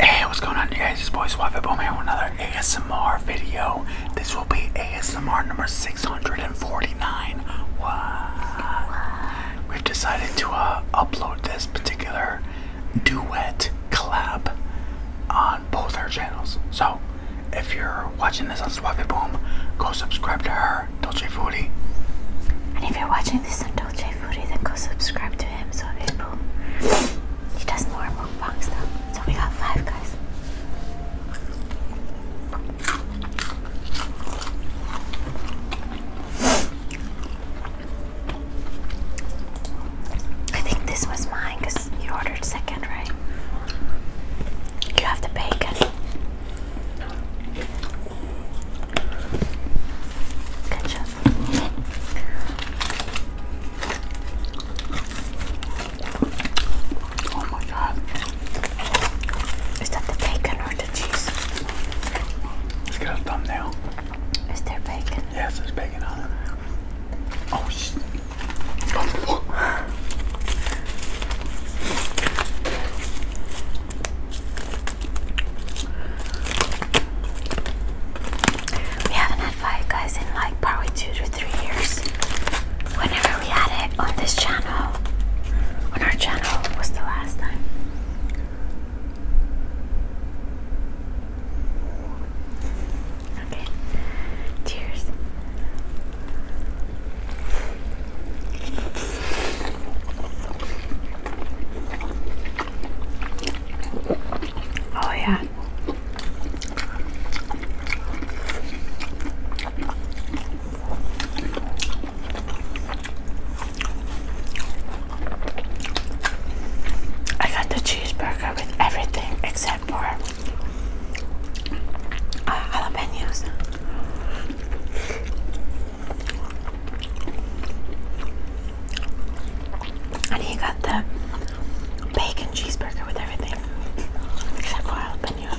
Hey, what's going on, you guys? It's Boy Swaffy Boom here with another ASMR video. This will be ASMR number 649. We've decided to uh, upload this particular duet collab on both our channels. So, if you're watching this on Suave Boom, go subscribe to her, Dolce Foodie. And if you're watching this on Dolce Foodie, then go subscribe to him, Suave Boom. He does more mukbang stuff. So we got five guys. I think this was mine because you ordered second, right? You have the bacon. Ketchup. Oh my god. Is that the bacon or the cheese? Let's get a thumbnail. Is there bacon? Yes, there's bacon on it. Oh shit. We haven't had fire guys in like probably two to three years. Whenever we had it on this channel, on our channel was the last time. Okay. Cheers. Oh yeah. I got the cheeseburger with everything except for uh, jalapenos. And he got the bacon cheeseburger with everything except for jalapenos.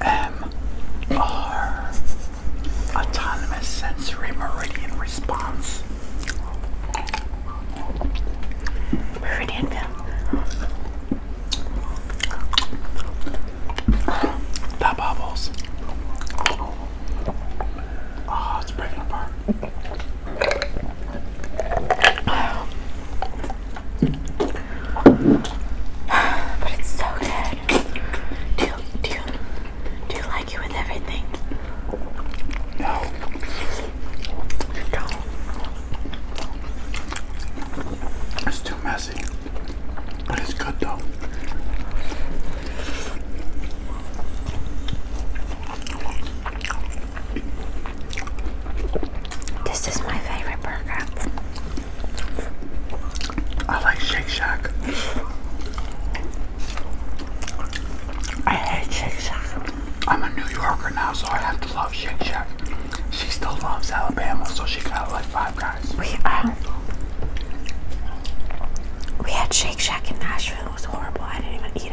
ASMR Autonomous Sensory Meridian Response Meridian The bubbles. Oh, it's breaking apart. But it's so good. Do you do you do you like it with everything? No. don't. It's too messy. But it's good though. This is my favorite burger. I like Shake Shack. I hate Shake Shack. I'm a New Yorker now, so I have to love Shake Shack. She still loves Alabama, so she got like five guys. We um, we had Shake Shack in Nashville. It was horrible. I didn't even eat it.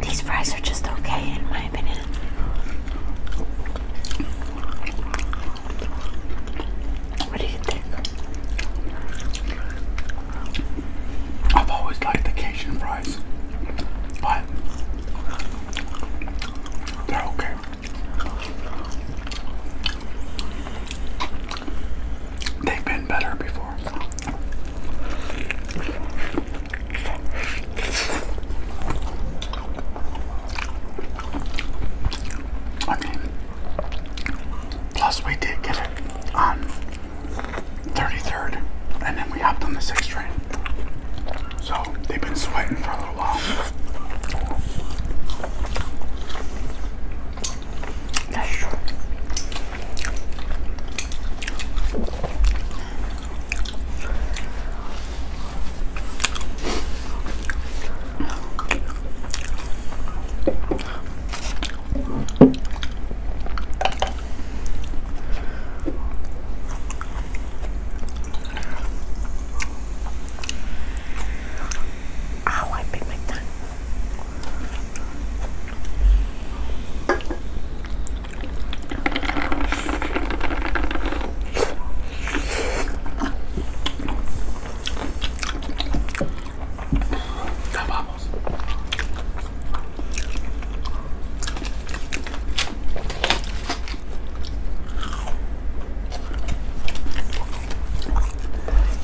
These fries are just okay, in my opinion. What do you think? I've always liked the Cajun fries, but they're okay. They've been better before. I mean, plus we did get it on 33rd, and then we hopped on the 6th train. So they've been sweating for a little while. That's true. Ow, oh, I bit my tongue.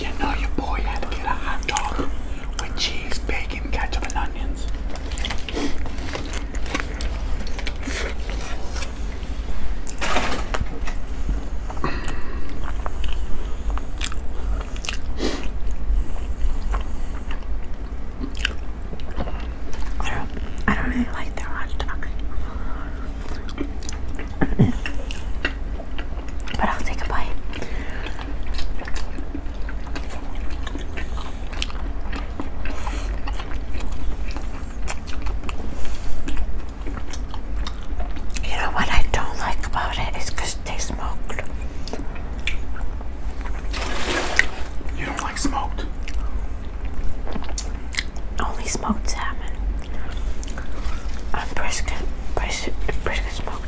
You know your boy had to get a hot dog with cheese, bacon, ketchup, and onions. I don't, I really like their hot dog. but I'll take a bite. You know what I don't like about it is because they smoked. You don't like smoked? Only smoked salmon. And brisket, brisket, brisket smoked.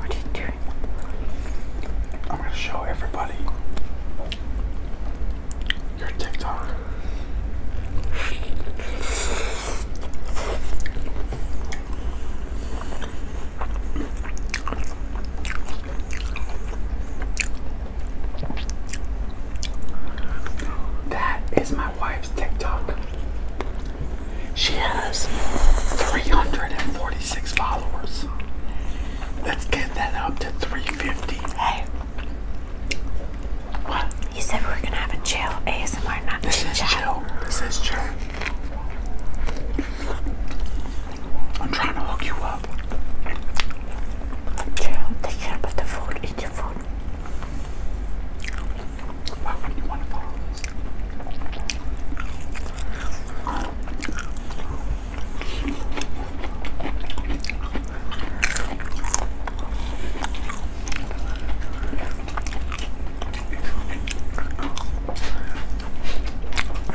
What are you doing? I'm gonna show everybody your TikTok. That is my wife's TikTok. She has 346 followers. Let's get that up to 350. Hey. What? You said we are gonna have a chill ASMR, not this is chill. This is chill. I'm trying to hook you up. Chill, they can't the food, eat your food. Why would you want to follow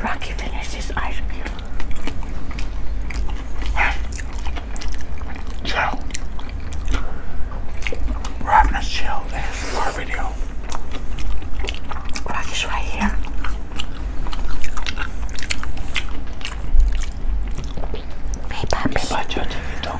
Rocky finished his ice cream. So, we're having a chill This is our video. Rocky's right here. Pay budget. don't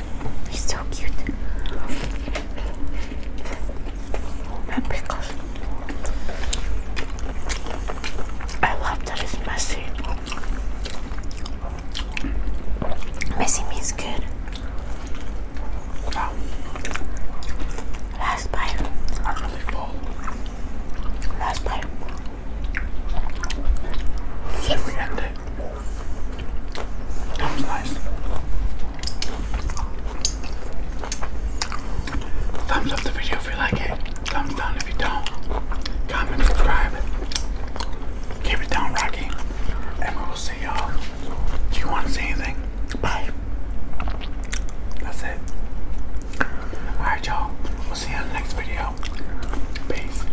He's so cute. And because I love that it's messy. Messy means good. Wow. Last bite. I'm really full. Last bite. Should we end it? That was Thumbs up the video if you like it. Thumbs down if you don't. Comment, subscribe. Keep it down, Rocky. And we will see y'all. Do you want to say anything? Bye. That's it. Alright, y'all. We'll see you on the next video. Peace.